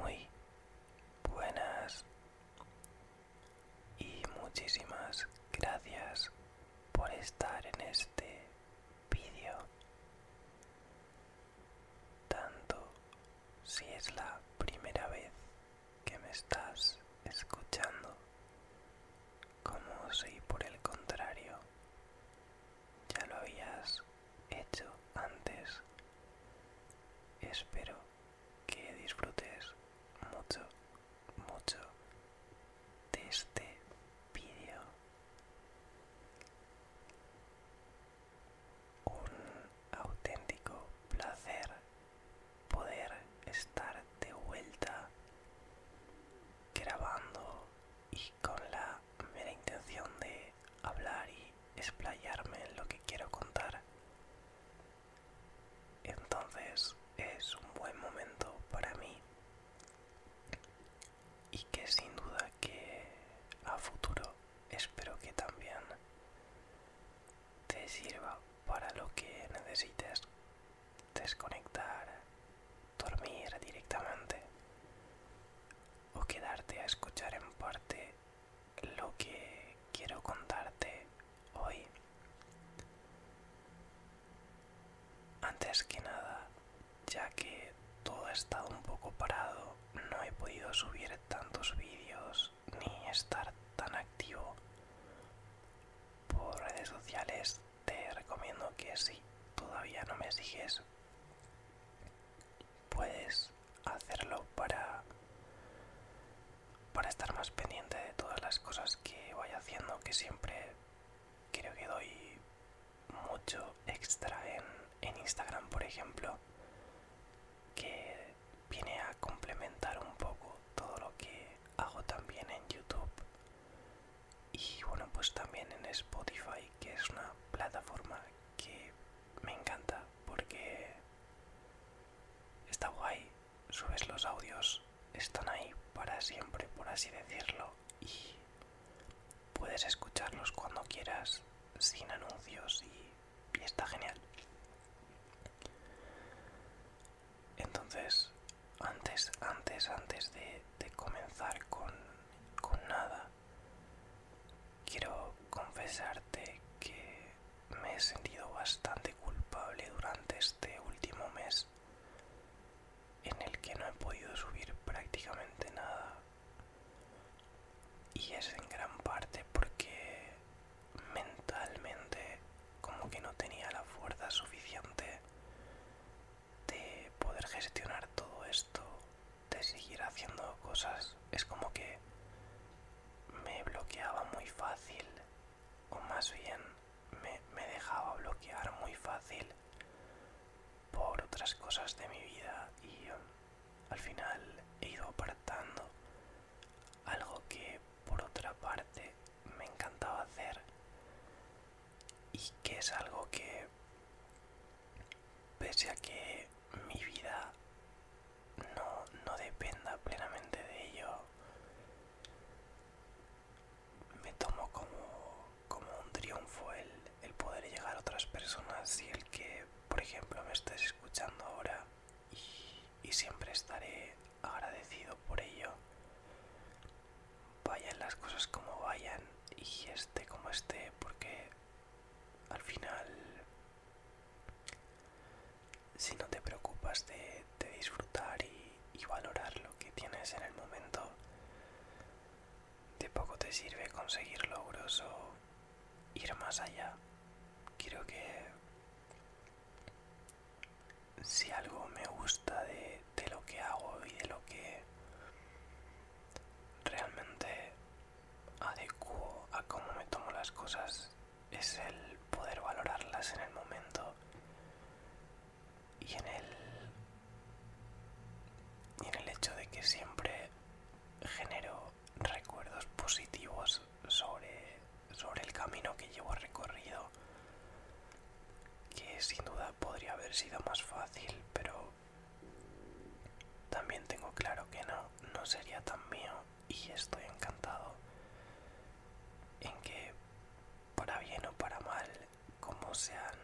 muy buenas y muchísimas gracias por estar en este vídeo tanto si es la primera vez que me estás escuchando como si por el contrario ya lo habías hecho antes. Espero que disfrutes mucho, mucho de este vídeo. Un auténtico placer poder estar de vuelta grabando y con la mera intención de hablar y esplayarme en lo que quiero contar. Entonces es un buen momento para mí y que sin duda que a futuro espero que también te sirva para lo que necesites desconectar, dormir directamente o quedarte a escuchar en parte lo que quiero contarte hoy. Antes que nada, ya que todo ha estado un poco parado, no he podido subir tantos vídeos ni estar tan activo por redes sociales, te recomiendo que si todavía no me sigues, puedes hacerlo para, para estar más pendiente de todas las cosas que voy haciendo, que siempre creo que doy mucho extra en, en Instagram, por ejemplo, que viene a complementar un poco todo lo que hago también en YouTube y bueno pues también en Spotify que es una plataforma que me encanta porque está guay, subes los audios, están ahí para siempre, por así decirlo, y puedes escucharlos cuando quieras, sin anuncios y, está genial. Entonces, antes, antes, antes de, comenzar con nada, Quiero confesarte que me he sentido bastante culpable durante este último mes en el que no he podido subir prácticamente nada. Y es en gran parte porque mentalmente como que no tenía la fuerza suficiente de poder gestionar todo esto de seguir haciendo cosas es como que me bloqueaba muy fácil o más bien me, dejaba bloquear muy fácil por otras cosas de mi vida y um, al final he ido apartando algo que por otra parte me encantaba hacer y que es algo que pese a que mi vida no, dependa plenamente de ello, me tomo como, un triunfo el, poder llegar a otras personas y el que, por ejemplo, me estés escuchando ahora y siempre estaré agradecido por ello. Vayan las cosas como vayan y esté como esté porque al final, si no te preocupas de, disfrutar y, valorar lo que tienes en el momento, de poco te sirve conseguir logros o ir más allá. Quiero que si algo me gusta de lo que hago y de lo que realmente adecuo a cómo me tomo las cosas es el poder valorarlas en el momento y en el, en el hecho de que siempre genero recuerdos positivos sobre, sobre el camino que llevo recorrido, que sin duda podría haber sido más fácil, pero también tengo claro que no, no sería tan mío y estoy encantado en que, para bien o para mal, como se han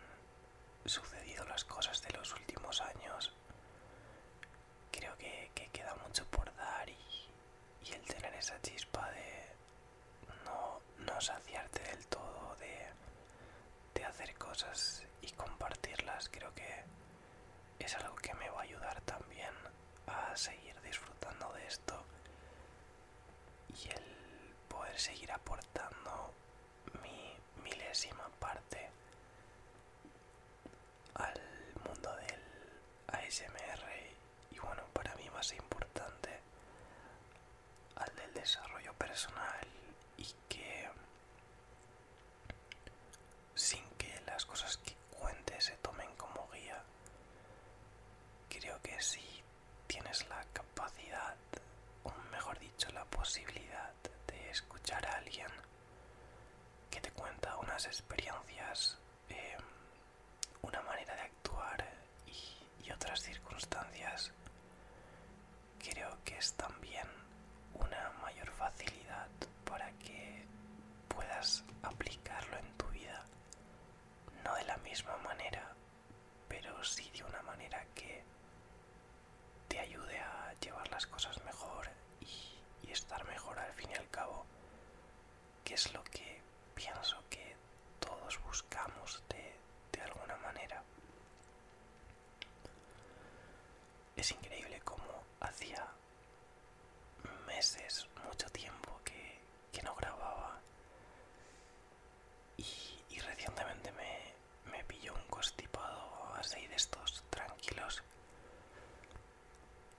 sucedido las cosas de los últimos años, creo que, queda mucho por dar y, el tener esa chispa de no, no saciarte del todo, de, de hacer cosas y compartirlas creo que es algo que me va a ayudar también a seguir disfrutando de esto y el poder seguir aportando mi milésima parte al mundo del ASMR y bueno para mí más importante al del desarrollo personal y que sin que las cosas que cuentes se tomen como guía. Creo que si tienes la capacidad, o mejor dicho, la posibilidad de escuchar a alguien que te cuenta unas experiencias, eh, una manera de actuar y otras circunstancias creo que es también una mayor facilidad para que puedas aplicarlo en tu vida. No de la misma manera, pero sí de una manera que te ayude a llevar las cosas mejor y, estar mejor al fin y al cabo, que es lo que pienso que todos buscamos de alguna manera. Es increíble cómo hacía meses, mucho tiempo que, no grababa y, recientemente me, me pilló un constipado así de estos tranquilos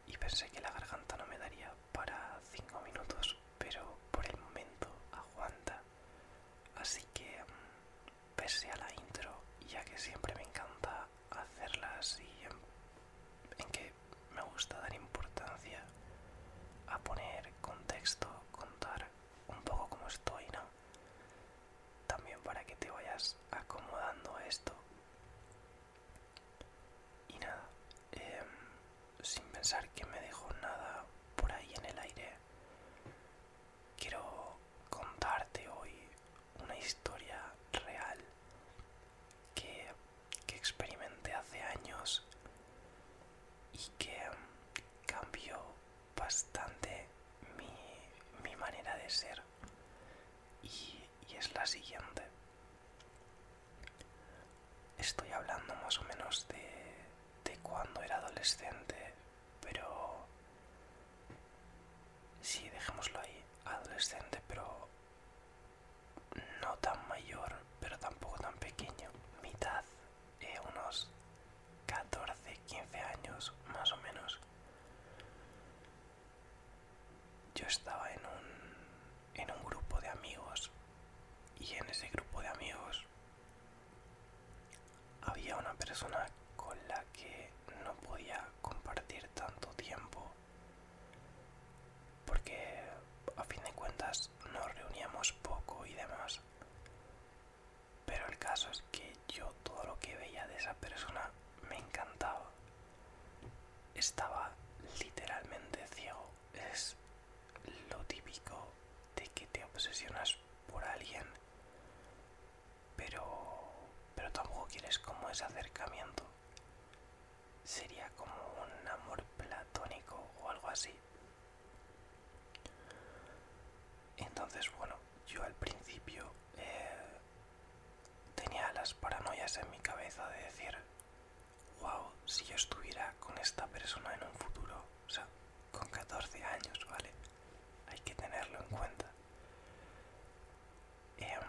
y pensé que la garganta no me daría para 5 minutos, pero por el momento aguanta. Así que mm, pese a la intro, ya que siempre me encanta hacerlas y en, que me gusta dar importancia a poner contexto, contar un poco como estoy, ¿no? También para que te vayas acomodando esto. Y nada, em, sin pensar que me dejo nada por ahí en el aire, quiero contarte hoy una historia real que, experimenté hace años y que um, cambió bastante mi, manera de ser y, es la siguiente estoy hablando más o menos de, de cuando era adolescente pero sí, dejémoslo ahí, adolescente, pero no tan mayor, pero tampoco tan pequeño, mitad, eh, unos 14, 15 años más o menos. Yo estaba en un, en un grupo de amigos y en ese grupo de amigos había una persona con la que no podía compartir tanto tiempo porque a fin de cuentas nos reuníamos poco y demás pero el caso es que yo todo lo que veía de esa persona me encantaba estaba literalmente ciego es lo típico de que te obsesionas por alguien pero, pero tampoco quieres como ese acercamiento. Sería como un amor platónico o algo así. Entonces, bueno, yo al principio eh, tenía las paranoias en mi cabeza de decir, wow, si yo estuviera con esta persona en un futuro, o sea, con 14 años, ¿vale? Hay que tenerlo en cuenta. Em,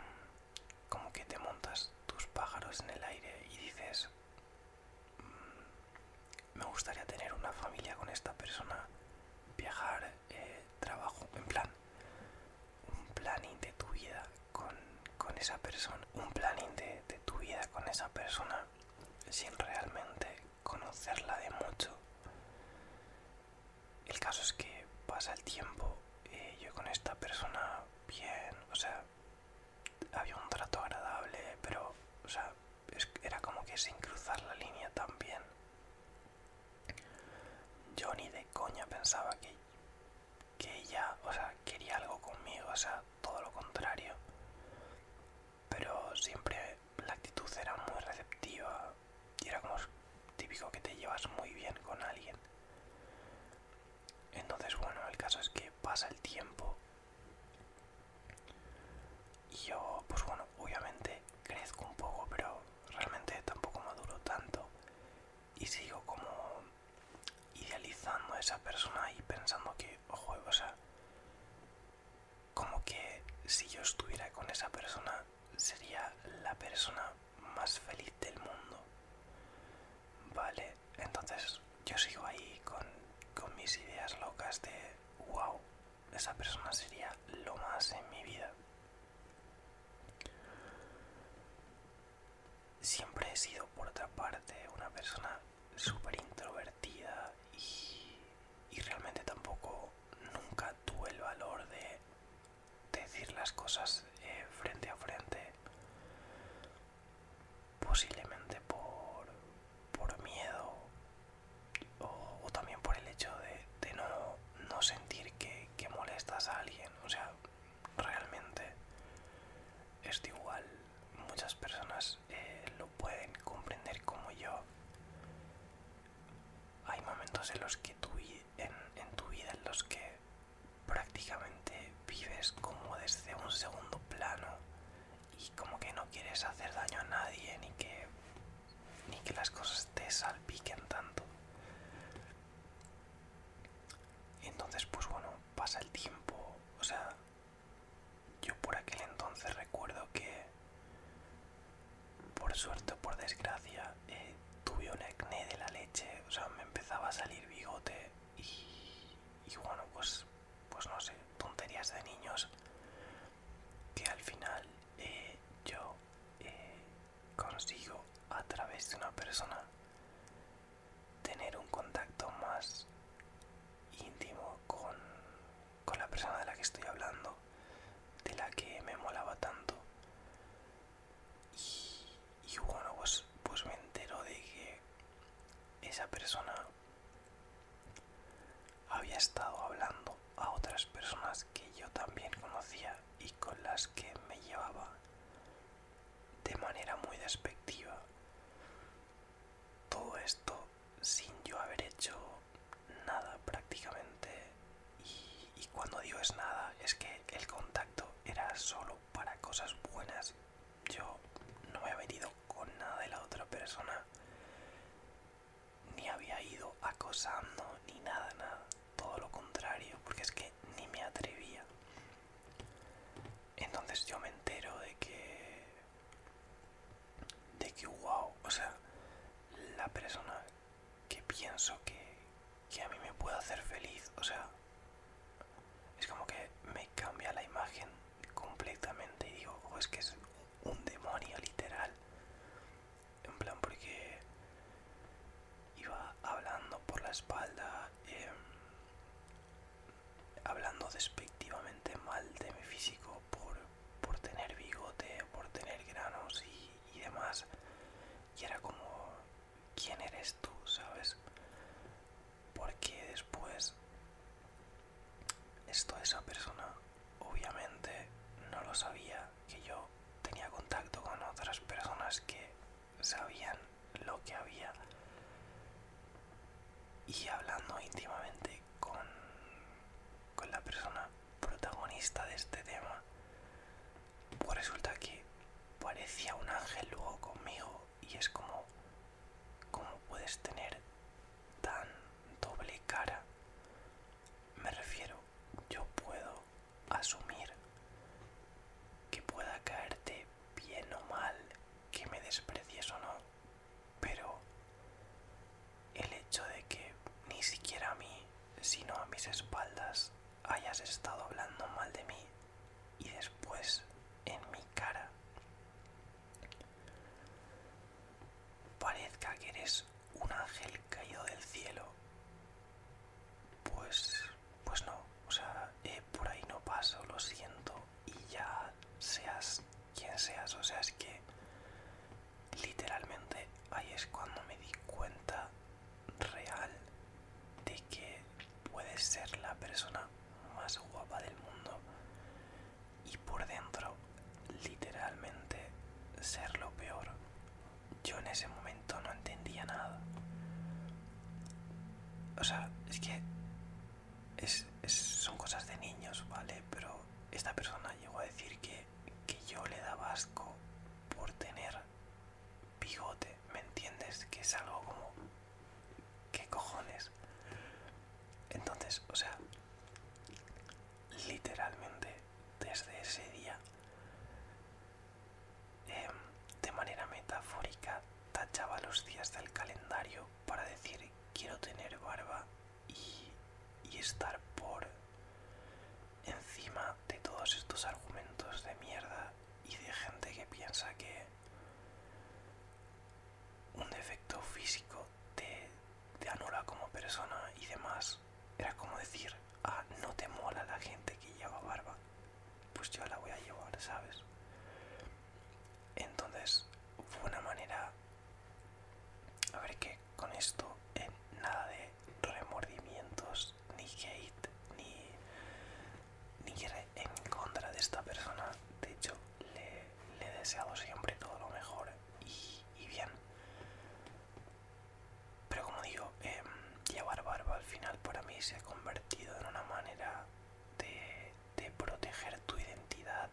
como que te montas tus pájaros en el aire y dices, mm, me gustaría tener una familia con esta persona, viajar, eh, trabajo, en plan, un planning de tu vida con, esa persona, un planning de, de tu vida con esa persona sin realmente conocerla de mucho. El caso es que pasa el tiempo, eh, yo con esta persona bien, o sea, había un trato agradable, pero, o sea, era como que sin cruzar la línea también. Yo ni de coña pensaba que, que ella, o sea, quería algo conmigo, o sea, todo lo contrario. Pero siempre la actitud era muy receptiva y era como típico que te llevas muy bien con alguien. Entonces, bueno, el caso es que pasa el tiempo y yo, pues bueno, obviamente crezco un poco, pero realmente tampoco maduro tanto y sigo como idealizando a esa persona y pensando que, ojo, o sea, como que si yo estuviera con esa persona sería la persona más feliz del mundo. Vale, entonces yo sigo ahí con, mis ideas locas de, wow, esa persona sería lo más en mi vida. Siempre he sido, por otra parte, una persona súper introvertida y, y realmente tampoco nunca tuve el valor de decir las cosas eh, frente a frente posiblemente por, por miedo o, también por el hecho de, no, no, sentir que, molestas a alguien o sea realmente es igual muchas personas eh, lo pueden comprender como yo hay momentos en los que tu, en, en tu vida en los que prácticamente vives como desde un segundo plano y como que no quieres hacer daño a nadie ni que ni que las cosas te salpiquen tanto entonces pues bueno pasa el tiempo o sea yo por aquel entonces recuerdo que por suerte o por desgracia, eh, tuve un acné de la leche, o sea, me empezaba a salir bigote y, bueno, pues, pues no sé, tonterías de niños que al final eh, yo eh, consigo a través de una persona tener un contacto más íntimo con, con la persona de la que estoy hablando, de la que me molaba tanto. Y, bueno, pues, pues me entero de que esa persona había estado hablando a otras personas que yo también conocía y con las que me llevaba de manera muy despectiva. Todo esto sin yo haber hecho nada prácticamente y, cuando digo es nada es que el contacto era solo para cosas buenas yo no me había venido con nada de la otra persona ni había ido acosando ni nada nada todo lo contrario porque es que ni me atrevía entonces yo me entero de que de que wow o sea la persona que pienso que, a mí me puede hacer feliz. O sea, es como que me cambia la imagen completamente y digo, o oh, es que es un demonio literal. En plan, porque iba hablando por la espalda, em, hablando despectivamente mal de mi físico por por tener bigote, por tener granos y, demás. Y era como, ¿quién eres tú? ¿Sabes? Porque después, esto esa persona obviamente no lo sabía, que yo tenía contacto con otras personas que sabían lo que había. Y hablando íntimamente con, con la persona protagonista de este tema, pues resulta que parecía un ángel luego conmigo y es como, ¿cómo puedes tener tan doble cara? Me refiero, yo puedo asumir que pueda caerte bien o mal, que me desprecies o no, pero el hecho de que ni siquiera a mí, sino a mis espaldas, hayas estado hablando mal de mí y después en mi cara parezca que eres un ángel caído del cielo. Pues, pues no, o sea, eh, por ahí no paso, lo siento, y ya seas quien seas, o sea, es que literalmente ahí es cuando me di cuenta real de que puedes ser la persona más guapa del mundo y por dentro literalmente ser lo peor. Yo en ese momento no entendía nada. O sea, es que son cosas de niños, ¿vale? Pero esta persona llegó a decir que que yo le daba asco por tener bigote, ¿me entiendes? Que es algo como... ¿Qué cojones? Entonces, o sea, literalmente desde ese día, em, de manera metafórica, tachaba los días del calendario para decir quiero tener barba y, estar por encima de todos estos argumentos de mierda y de gente que piensa que un defecto físico te, anula como persona y demás. Era como decir, ah, no te mola la gente que lleva barba. Pues yo la voy a llevar, ¿sabes? Entonces fue una manera a ver que con esto eh, nada de remordimientos, ni hate, ni, ni en contra de esta persona. De hecho, le, he deseado siempre todo lo mejor y, bien. Pero como digo, em, llevar barba al final para mí se ha convertido en una manera de, proteger tu identidad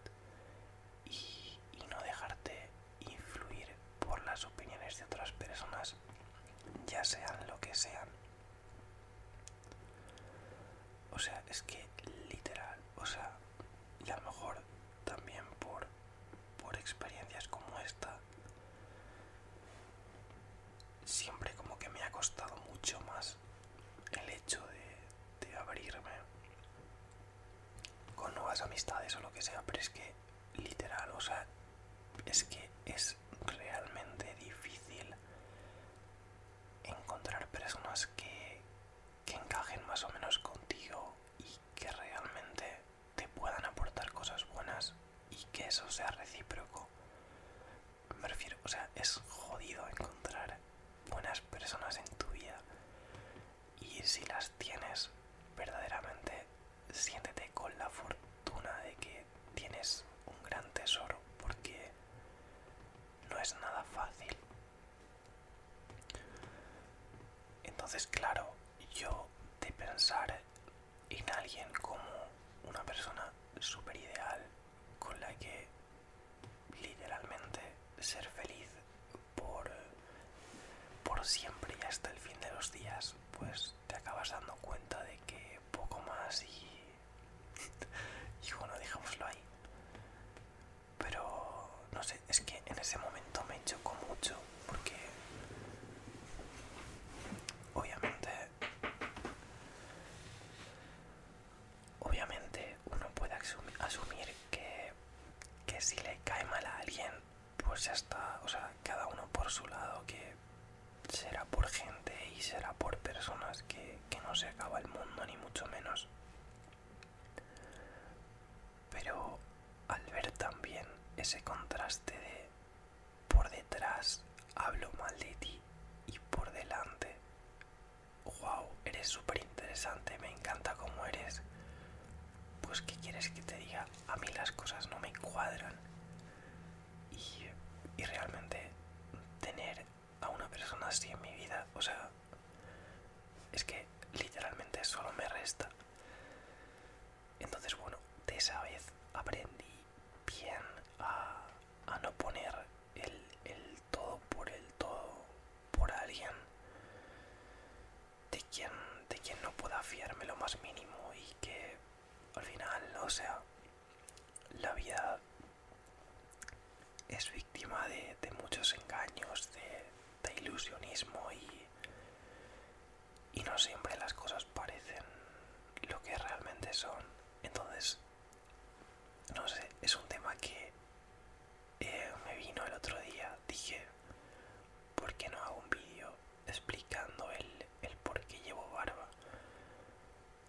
y, y no dejarte influir por las opiniones de otras personas, ya sean lo que sean. O sea, es que literal, o sea, y a lo mejor también por, por experiencias como esta, siempre como que me ha costado mucho más el hecho de, de abrirme con nuevas amistades o lo que sea, pero es que literal, o sea, es que es realmente difícil encontrar personas que, que encajen más o menos contigo y que realmente te puedan aportar cosas buenas y que eso sea recíproco. Me refiero, o sea, es jodido encontrar buenas personas en tu vida y si las tienes, verdaderamente siéntete con la fortuna de que tienes un gran tesoro porque no es nada fácil. Entonces, claro, yo de pensar en alguien como una persona súper ideal con la que literalmente ser feliz por, por siempre y hasta el fin de los días, pues te acabas dando cuenta de que poco más y, y bueno, dejémoslo ahí. Pero no sé, es que en ese momento me chocó mucho porque obviamente obviamente uno puede asumir que que si le cae mal a alguien, pues ya está, o sea, cada uno por su lado, que será por gente y será por personas que, no se acaba el mundo, ni mucho menos. Pero al ver también ese contraste de por detrás hablo mal de ti y por delante, wow, eres súper interesante, me encanta cómo eres, pues ¿qué quieres que te diga? A mí las cosas no me cuadran. Y, realmente tener a una persona así en mi vida, o sea, es que literalmente solo me resta. Entonces, bueno, de esa vez aprendí bien a, no poner el todo por el todo por alguien de quien, de quien no pueda fiarme lo más mínimo y que al final, o sea, la vida es víctima de, de muchos engaños, de, de ilusionismo y, y no siempre las cosas parecen lo que realmente son. Entonces, no sé, es un tema que eh, me vino el otro día, dije, ¿por qué no hago un vídeo explicando el, por qué llevo barba?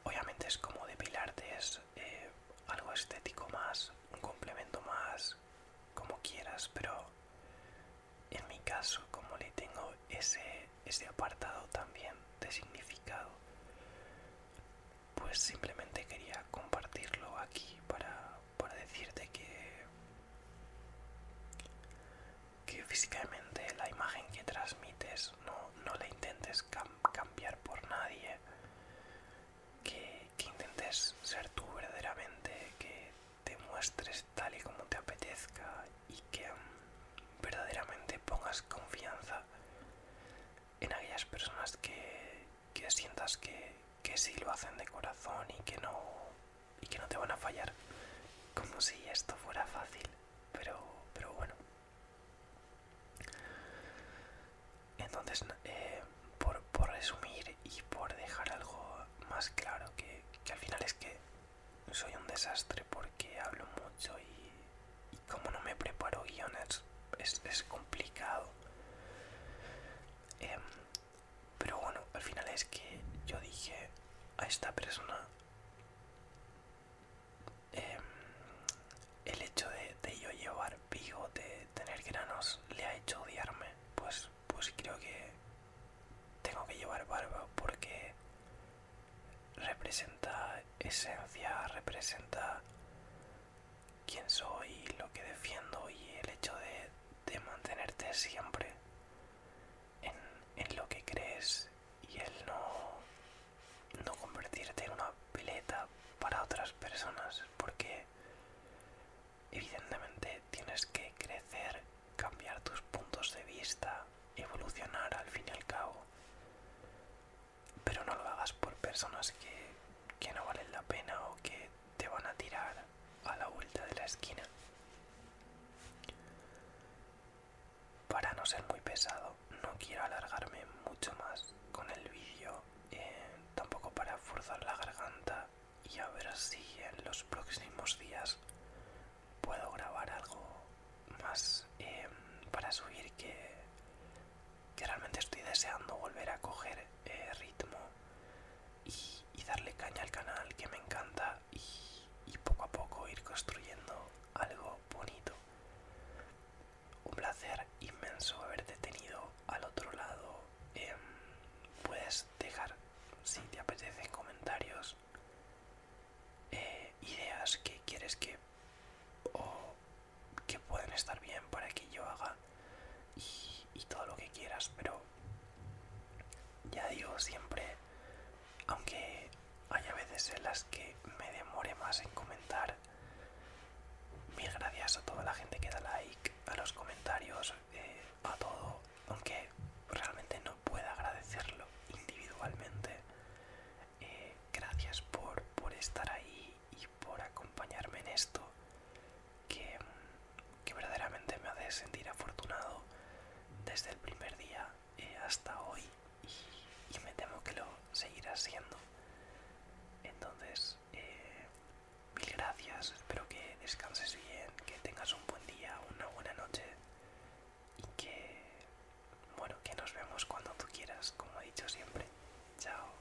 Obviamente es como depilarte, es eh, algo estético más, un complemento más, como quieras, pero en mi caso, como le tengo ese, ese apartado también de significado, pues simplemente quería compartirlo aquí para, por decirte que, que físicamente la imagen que transmites no, la intentes cambiar por nadie, que, intentes ser tú verdaderamente, que te muestres tal y como te apetezca y que mm, verdaderamente pongas confianza en aquellas personas que, que sientas que, que sí lo hacen de corazón y que no y que no te van a fallar. Como si esto fuera fácil, pero, pero bueno. Entonces, eh, por, resumir y por dejar algo más claro, que, al final es que soy un desastre porque hablo mucho y, y como no me preparo guiones, es, complicado. Em, pero bueno, al final es que yo dije a esta persona em, el hecho de, yo llevar de tener granos, le ha hecho odiarme. Pues, pues creo que tengo que llevar barba porque representa esencia, representa quién soy lo que defiendo y el hecho de, mantenerte siempre en, lo que crees y el no, no convertirte en una peleta para otras personas porque evidentemente tienes que crecer, cambiar tus puntos de vista, evolucionar al fin y al cabo. Pero no lo hagas por personas que, que no valen la pena o que te van a tirar a la vuelta de la esquina. Para no ser muy pesado, no quiero alargarme mucho más con el vídeo, eh, tampoco para forzar la garganta y a ver si en los próximos días puedo grabar algo más eh, para subir que, realmente estoy deseando volver a coger eh, ritmo y, darle caña al canal que me encanta y, poco a poco ir construyendo algo bonito. Un placer inmenso haberte tenido al otro lado. Em, puedes dejar, si te apetece, comentarios eh, ideas que quieres que o que pueden estar bien para que yo haga y, todo lo que quieras, pero ya digo siempre, aunque haya veces en las que me demore más en comentar, mil gracias a toda la gente que da like, a los comentarios, eh, a todo, aunque realmente no pueda agradecerlo individualmente. Eh, gracias por estar ahí y por acompañarme en esto que, verdaderamente me hace sentir afortunado desde el primer día eh, hasta hoy y, me temo que lo seguirá siendo. Entonces, eh, mil gracias, espero que descanses bien, que tengas un buen día, una buena noche y que, bueno, que nos vemos cuando tú quieras, como he dicho siempre. Chao.